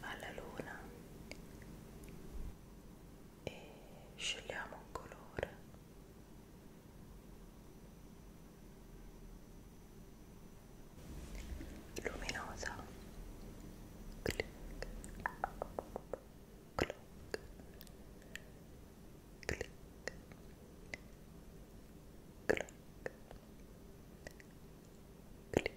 alla luna e scegliamo un colore luminosa clic cloc clic cloc clic cloc clic clic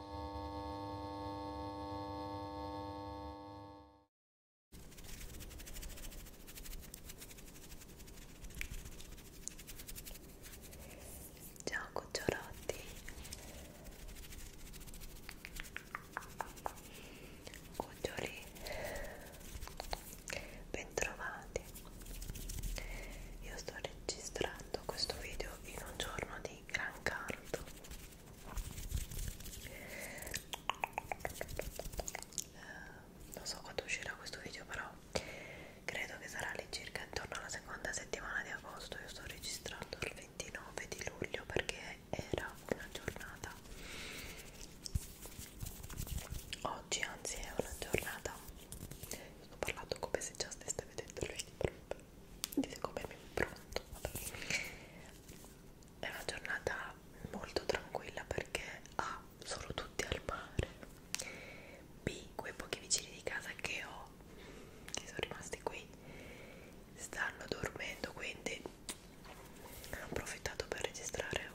Ciao cucciolotti cuccioli bentrovati io sto registrando questo video in un giorno di gran caldo eh, non so quando uscirà questo video però credo che sarà all'incirca intorno alla seconda settimana di agosto io sto registrando il 29 di luglio perché era una giornata oggi anzi è una giornata sto parlando come se già stesse vedendo il video di come mi impronto è una giornata molto tranquilla perché A sono tutti al mare B quei pochi vicini di casa che ho che sono rimasti qui stanno dormendo quindi ho approfittato per registrare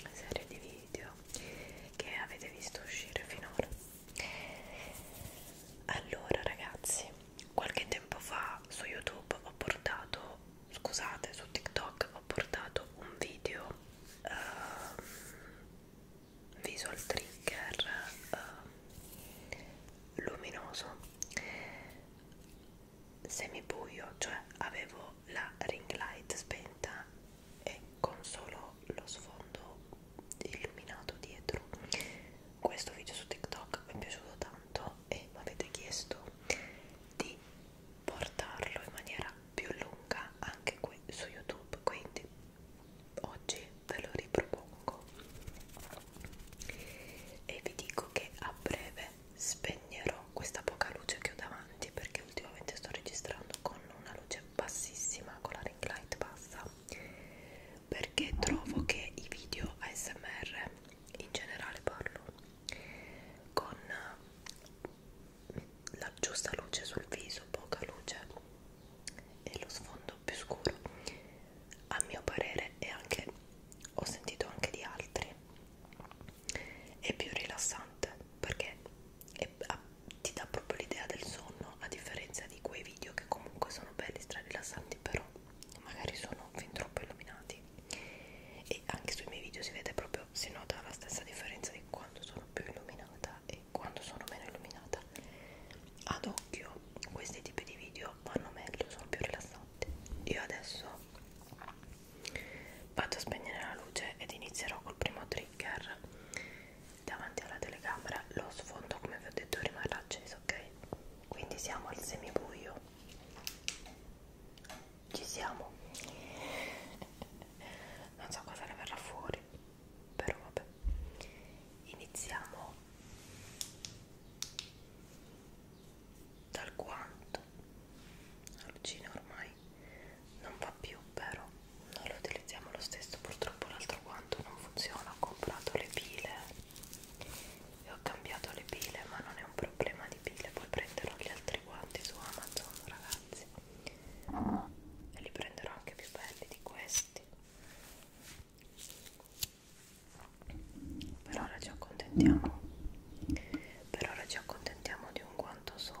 una serie di video che avete visto uscire finora allora ragazzi qualche tempo fa su YouTube ho portato, scusate, su TikTok ho portato un video uh, visual trigger uh, luminoso semibuio, cioè avevo la ring light spenta e con solo lo sfondo illuminato dietro questo video su TikTok mi è piaciuto tanto e mi avete chiesto di portarlo in maniera più lunga anche qui su YouTube quindi oggi ve lo ripropongo e vi dico che a breve spegnerò questa poca luce che ho davanti perché ultimamente sto registrando con una luce bassissima con la ring light bassa perché trovo che i video ASMR in generale parlo con la giusta luce sul viso, poca luce e lo sfondo più scuro a mio parere e anche ho sentito anche di altri è più rilassante perché è, a, ti dà proprio l'idea del sonno no a differenza di quei video che comunque sono belli stralassanti però magari sono fin troppo illuminati e anche sui miei video si vede proprio si nota la stessa differenza di quando sono più illuminata e quando sono meno illuminata ad occhio questi tipi di video vanno meglio sono più rilassanti io adesso vado a spegnere la luce ed inizierò col primo trigger davanti alla telecamera lo sfondo come vi ho detto rimarrà acceso ok quindi siamo al semibuio ci siamo non so cosa ne verrà fuori però vabbè iniziamo dal guanto l'uccina ormai non va più vero noi lo utilizziamo lo stesso purtroppo l'altro guanto non funziona ho comprato le pile e ho cambiato le pile ma non è un problema di pile poi prenderò gli altri guanti su Amazon ragazzi e li prenderò anche più belli di questi per ora ci accontentiamo per ora ci accontentiamo di un guanto solo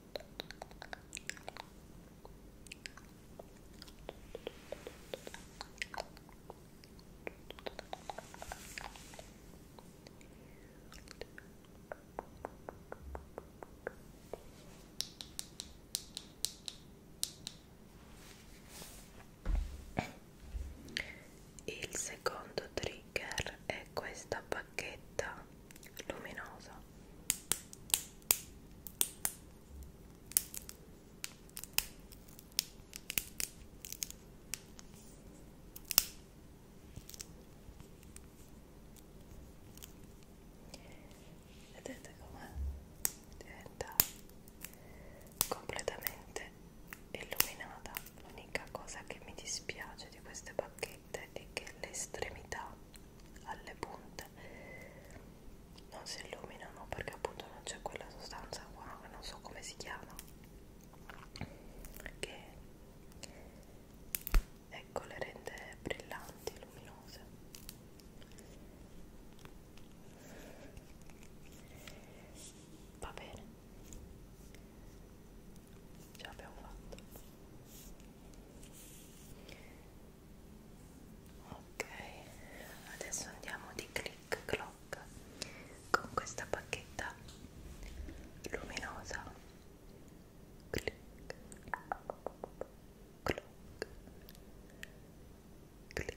Il secondo trigger è questa bacchetta luminosa vedete com'è? diventa completamente illuminata l'unica cosa che mi dispiace di queste bacchette è che l'estremità alle punte non si illuminano perché appunto non c'è quella sostanza qua non so come si chiama che ecco le rende brillanti luminose va bene ce l'abbiamo fatta ok adesso andiamo di click clock con questa bacchetta luminosa click clock click clock click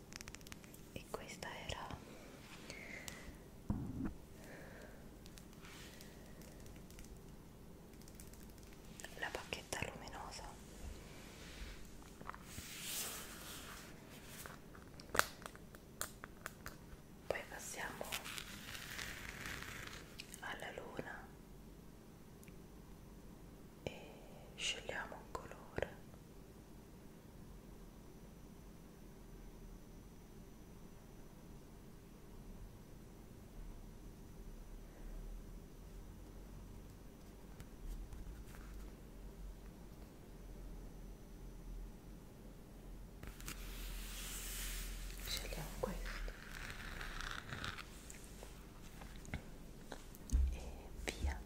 e questa era la bacchetta luminosa poi passiamo alla luna e scegliamo un colore scegliamo questo e via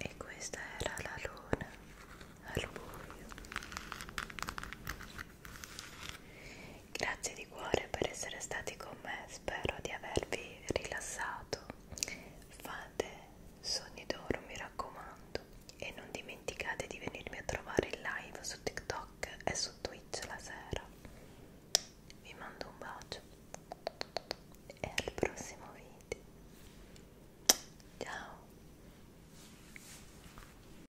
E questa era la luna al buio. Grazie di cuore per essere stati con me, spero di avervi rilassato. Fate sogni d'oro, mi raccomando, e non dimenticate di venirmi a trovare in live su TikTok e su Twitch la sera. Vi mando un bacio e al prossimo video. Ciao!